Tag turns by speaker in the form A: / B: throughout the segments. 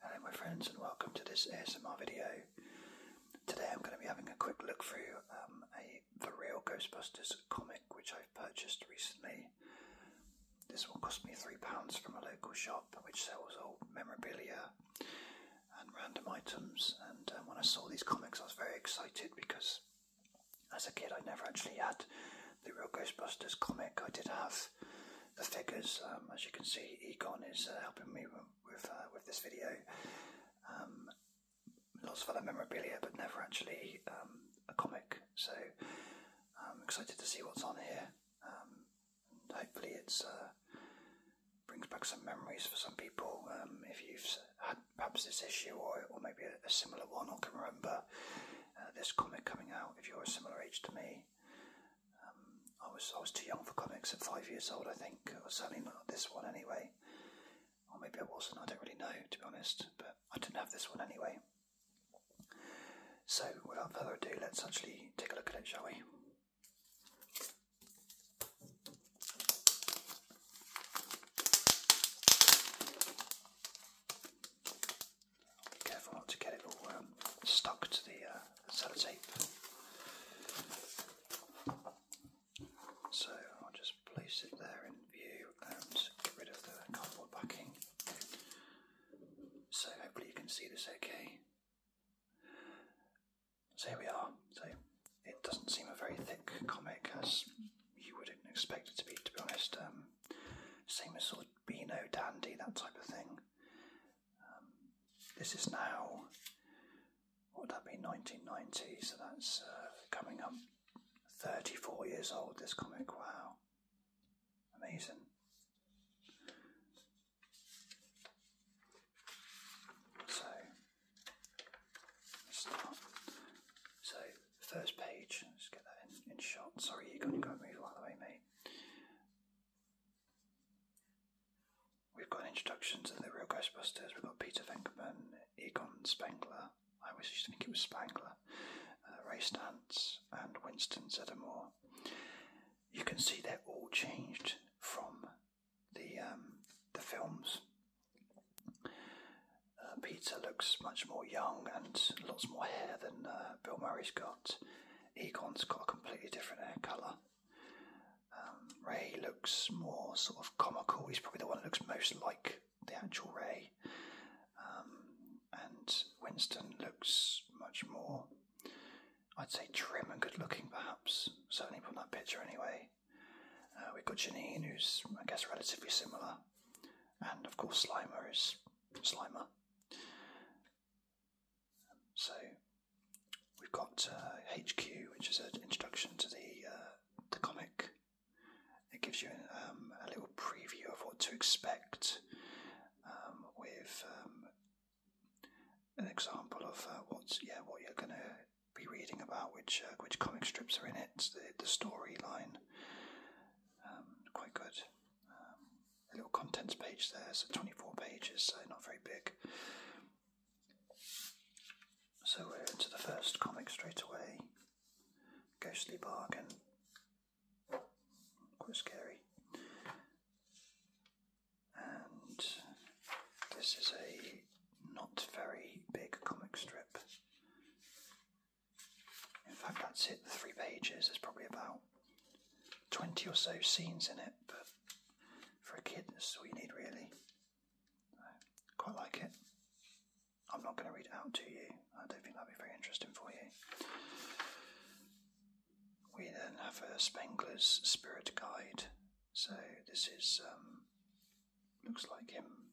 A: Hello my friends and welcome to this ASMR video. Today I'm going to be having a quick look through um, a The Real Ghostbusters comic which I've purchased recently. This one cost me £3 from a local shop which sells all memorabilia and random items and um, when I saw these comics I was very excited because as a kid I never actually had the Real Ghostbusters comic. I did have the figures. Um, as you can see, Egon is uh, helping me with with uh, this video. Um, lots of other memorabilia, but never actually um, a comic. So I'm excited to see what's on here. hopefully, it's uh, brings back some memories for some people. if you've had perhaps this issue or, or maybe a similar one, or can remember this comic coming out, if you're a similar age to me. Um, I was I was too young for comics at five years old, I think, or certainly not this one anyway. Or maybe I wasn't. I don't really know, to be honest. But I didn't have this one anyway. So, without further ado, let's actually take a look at it, shall we? careful not to get it all um, stuck to the uh, sellotape. So I'll just place it there in view and get rid of the cardboard backing. So hopefully you can see this okay. So here we are. So it doesn't seem a very thick comic as you would not expect it to be, to be honest. Um, same as sort of Beano Dandy, that type of thing. Um, this is now, what would that be, 1990, so that's uh, coming up 34 years old, this comic, wow. Amazing. So, start. So, first page, let's get that in, in shot. Sorry, you're going to go move out of the way, mate. We've got introductions of the real Ghostbusters. We've got Peter Venkman, Egon Spengler. I was just to think it was Spengler, uh, Ray Stantz, and Winston Zeddemore. You can see they're all changed from the um, the films. Uh, Peter looks much more young and lots more hair than uh, Bill Murray's got. Egon's got a completely different hair colour. Um, Ray looks more sort of comical. He's probably the one that looks most like the actual Ray. Um, and Winston looks much more, I'd say, trim and good looking, perhaps. Certainly from that picture, anyway. Uh, we've got Janine, who's, I guess, relatively similar. And of course, Slimer is Slimer. So we've got HQ, uh, which is an introduction to the uh, the comic. It gives you um, a little preview of what to expect, um, with um, an example of uh, what's yeah what you're going to be reading about, which which comic strips are in it, the storyline. quite good a little contents page there, so 24 pages, so not very big. So we're into the first comic straight away Ghostly Bargain. Quite scary. And this is a not very big comic strip. In fact, that's it, three pages. There's probably about 20 or so scenes in it, but for a kid, that's all you need really. I quite like it. I'm not going to read it out to you, I don't think that'd be very interesting for you. We then have a Spengler's Spirit Guide. So this is, um, looks like him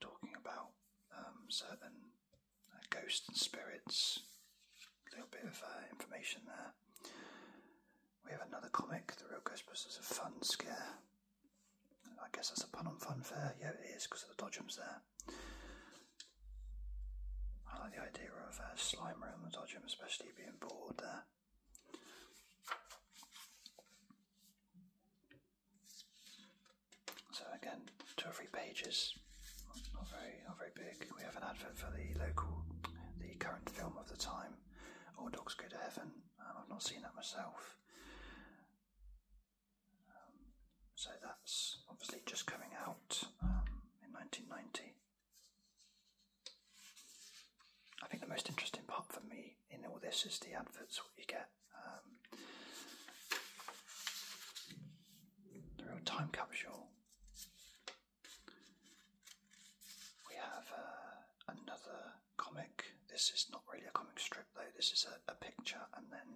A: talking about um, certain uh, ghosts and spirits. A little bit of uh, information there. We have another comic, The Real Ghostbusters: A Fun Scare. I guess that's a pun on funfair. Yeah, it is because of the Dodgems there. I like the idea of uh, Slimer and the Dodgem, especially being bored there. So again, two or three pages, not, very, not very big. We have an advert for the local, the current film of the time, All Dogs Go to Heaven. I've not seen that myself. Um, so that's obviously just coming out um, in 1990. I think the most interesting part for me in all this is the adverts. What you get um, the real time capsule. We have uh, another comic. This is not really a comic strip though, this is a, picture and then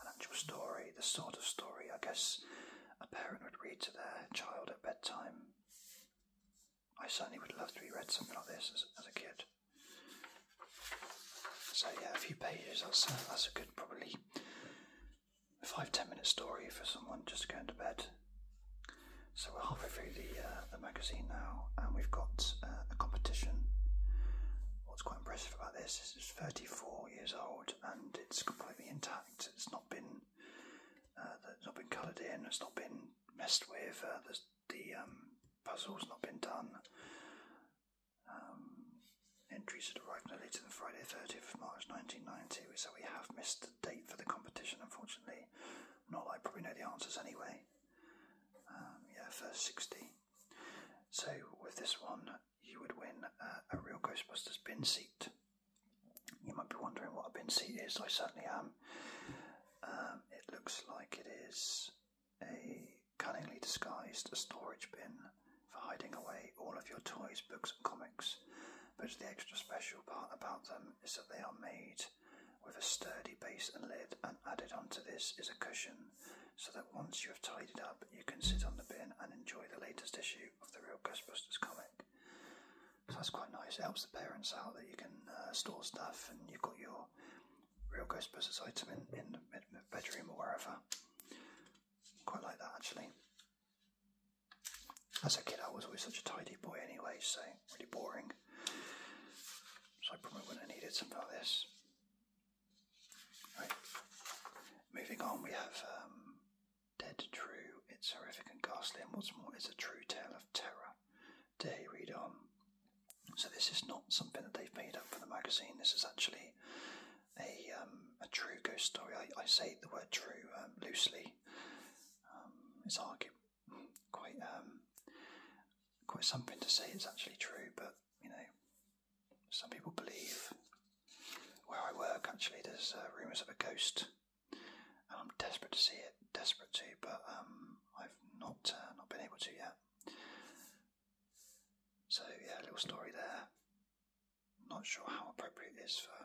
A: an actual story, the sort of story I guess a parent would read to their child at bedtime. I certainly would love to be read something like this as a kid. So yeah, a few pages. That's a, uh, that's a good probably five ten minute story for someone just going to bed. So we're halfway through the uh, the magazine now, and we've got uh, a competition. What's quite impressive about this is it's 34 years old and it's completely intact. It's not been uh, it's not been coloured in. It's not been messed with. the the um, puzzle's not been done. Um, entries should arrived no later than Friday, 30th of March 1990, so we have missed the date for the competition, unfortunately. Not that I probably know the answers anyway. Um, yeah, first 60. So, with this one, you would win a real Ghostbusters bin seat. You might be wondering what a bin seat is, I certainly am. Um, it looks like it is a cunningly disguised storage bin for hiding away all of your toys, books, and comics. But the extra special part about them is that they are made with a sturdy base and lid, and added onto this is a cushion, so that once you have tidied up, you can sit on the bin and enjoy the latest issue of the real Ghostbusters comic. So that's quite nice. It helps the parents out that you can uh, store stuff, and you've got your real Ghostbusters item in, in the bedroom or wherever. Quite like that actually. As a kid, I was always such a tidy boy anyway, so really boring. So I probably wouldn't have needed something like this. Right. Moving on, we have um, Dead True. It's horrific and ghastly, and what's more, it's a true tale of terror. Day, read on? So this is not something that they've made up for the magazine. This is actually a um, a true ghost story. I, I say the word true um, loosely. Um, it's argued quite quite something to say it's actually true, but you know, some people believe. Where I work, actually, there's uh, rumours of a ghost, and I'm desperate to see it, desperate to, but I've not uh, not been able to yet. So yeah, little story there. I'm not sure how appropriate it is for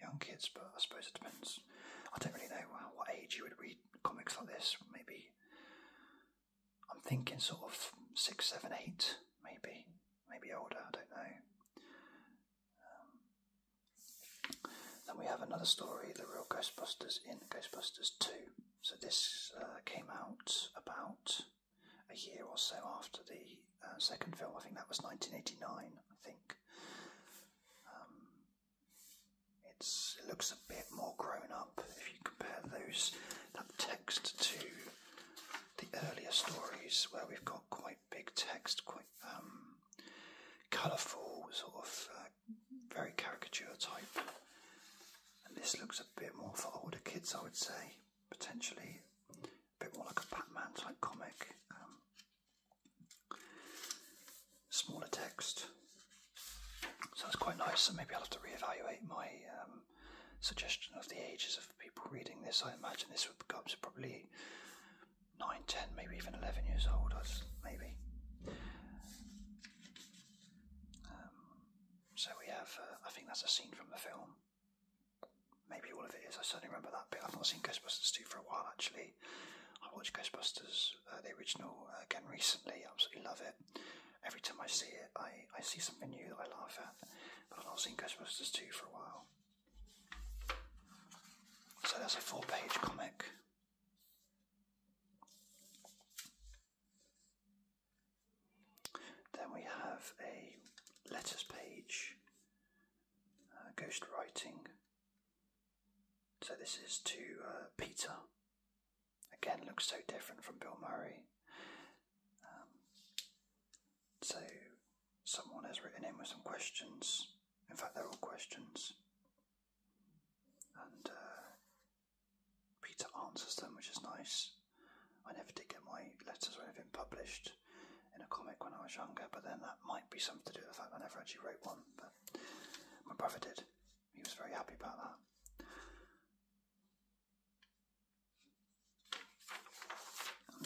A: young kids, but I suppose it depends. I don't really know what age you would read comics like this. Maybe I'm thinking sort of six, seven, eight, maybe, maybe older. I don't know. Um, then we have another story, The Real Ghostbusters in Ghostbusters Two so this uh, came out about a year or so after the uh, second film. I think that was 1989. I think um, it's it looks a bit more grown up if you compare those that text to the earlier stories where we've got quite big text, quite um, colourful sort of uh, very caricature type. And this looks a bit more for older kids, I would say, potentially a bit more like a Batman type comic. Um, smaller text. So that's quite nice, so maybe I'll have to reevaluate my um, suggestion of the ages of people reading this. I imagine this would become probably 9, 10, maybe even 11 years old, maybe. Um, so we have, uh, I think that's a scene from the film. Maybe all of it is. I certainly remember that bit. I've not seen Ghostbusters 2 for a while, actually. I watched Ghostbusters, uh, the original, uh, again recently. Absolutely love it. Every time I see it, I, I see something new that I laugh at. But I've not seen Ghostbusters 2 for a while. So that's a four page comic. Then we have a letters page, uh, ghost writing. So this is to uh, Peter. Again, looks so different from Bill Murray. Um, so someone has written in with some questions. In fact, they're all questions. And uh, Peter answers them, which is nice. I never did get my letters or anything published in a comic when I was younger, but then that might be something to do with the fact I never actually wrote one. But my brother did. He was very happy about that.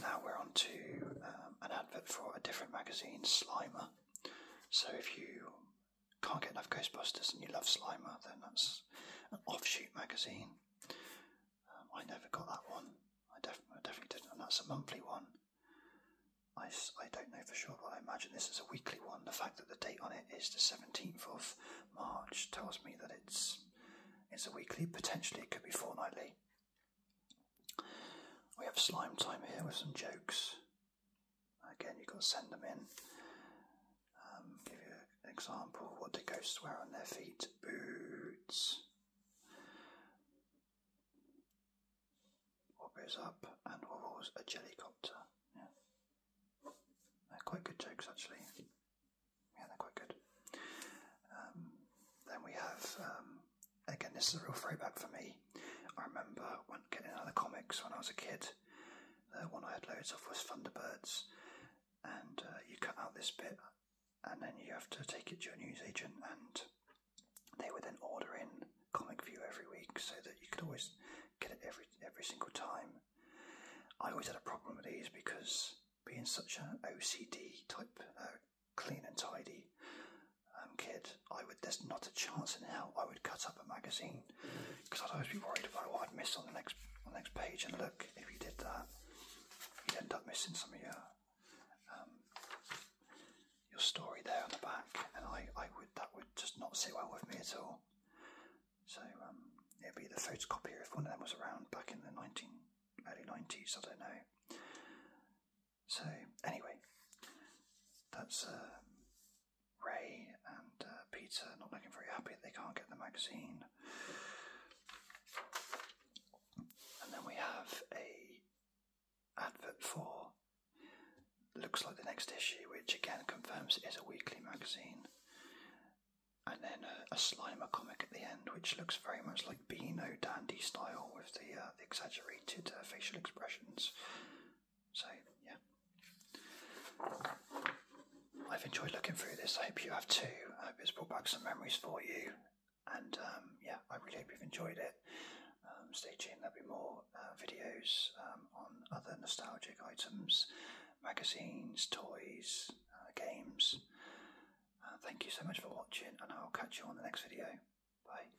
A: Now we're on to um, an advert for a different magazine, Slimer. So if you can't get enough Ghostbusters and you love Slimer, then that's an offshoot magazine. Um, I never got that one. I, def- definitely didn't, and that's a monthly one. I, I don't know for sure, but I imagine this is a weekly one. The fact that the date on it is the 17th of March tells me that it's it's a weekly. Potentially, it could be fortnightly. We have slime time here with some jokes. Again, you've got to send them in. Um, give you an example. What do ghosts wear on their feet? Boots. What goes up? And what was a jellycopter? Yeah. They're quite good jokes, actually. Yeah, they're quite good. Um, then we have, um, again, this is a real throwback for me. I remember when getting out of the comics when I was a kid, the uh, one I had loads of was Thunderbirds, and uh, you cut out this bit, and then you have to take it to your newsagent, and they would then order in Comic View every week so that you could always get it every every single time. I always had a problem with these because being such an OCD type, uh, clean and tidy um, kid, I would. There's not a chance in hell I would cut up a magazine because I'd always be worried about what I'd miss on the next on the next page. And look, if you did that, you'd end up missing some of your um, your story there on the back. And I, I would that would just not sit well with me at all. So um, it'd be the photocopier if one of them was around back in the nineteen early nineties. I don't know. So anyway, that's uh, Ray and uh, Peter not looking very happy they can't get the magazine. And then we have a advert for looks like the next issue, which again confirms it is a weekly magazine. And then a, Slimer comic at the end, which looks very much like Beano Dandy style with the, uh, exaggerated uh, facial expressions. So, yeah. I've enjoyed looking through this. I hope you have too. I hope it's brought back some memories for you. And um, yeah, I really hope you've enjoyed it. Um, stay tuned, there'll be more uh, videos um, on other nostalgic items, magazines, toys, uh, games. Uh, thank you so much for watching, and I'll catch you on the next video. Bye.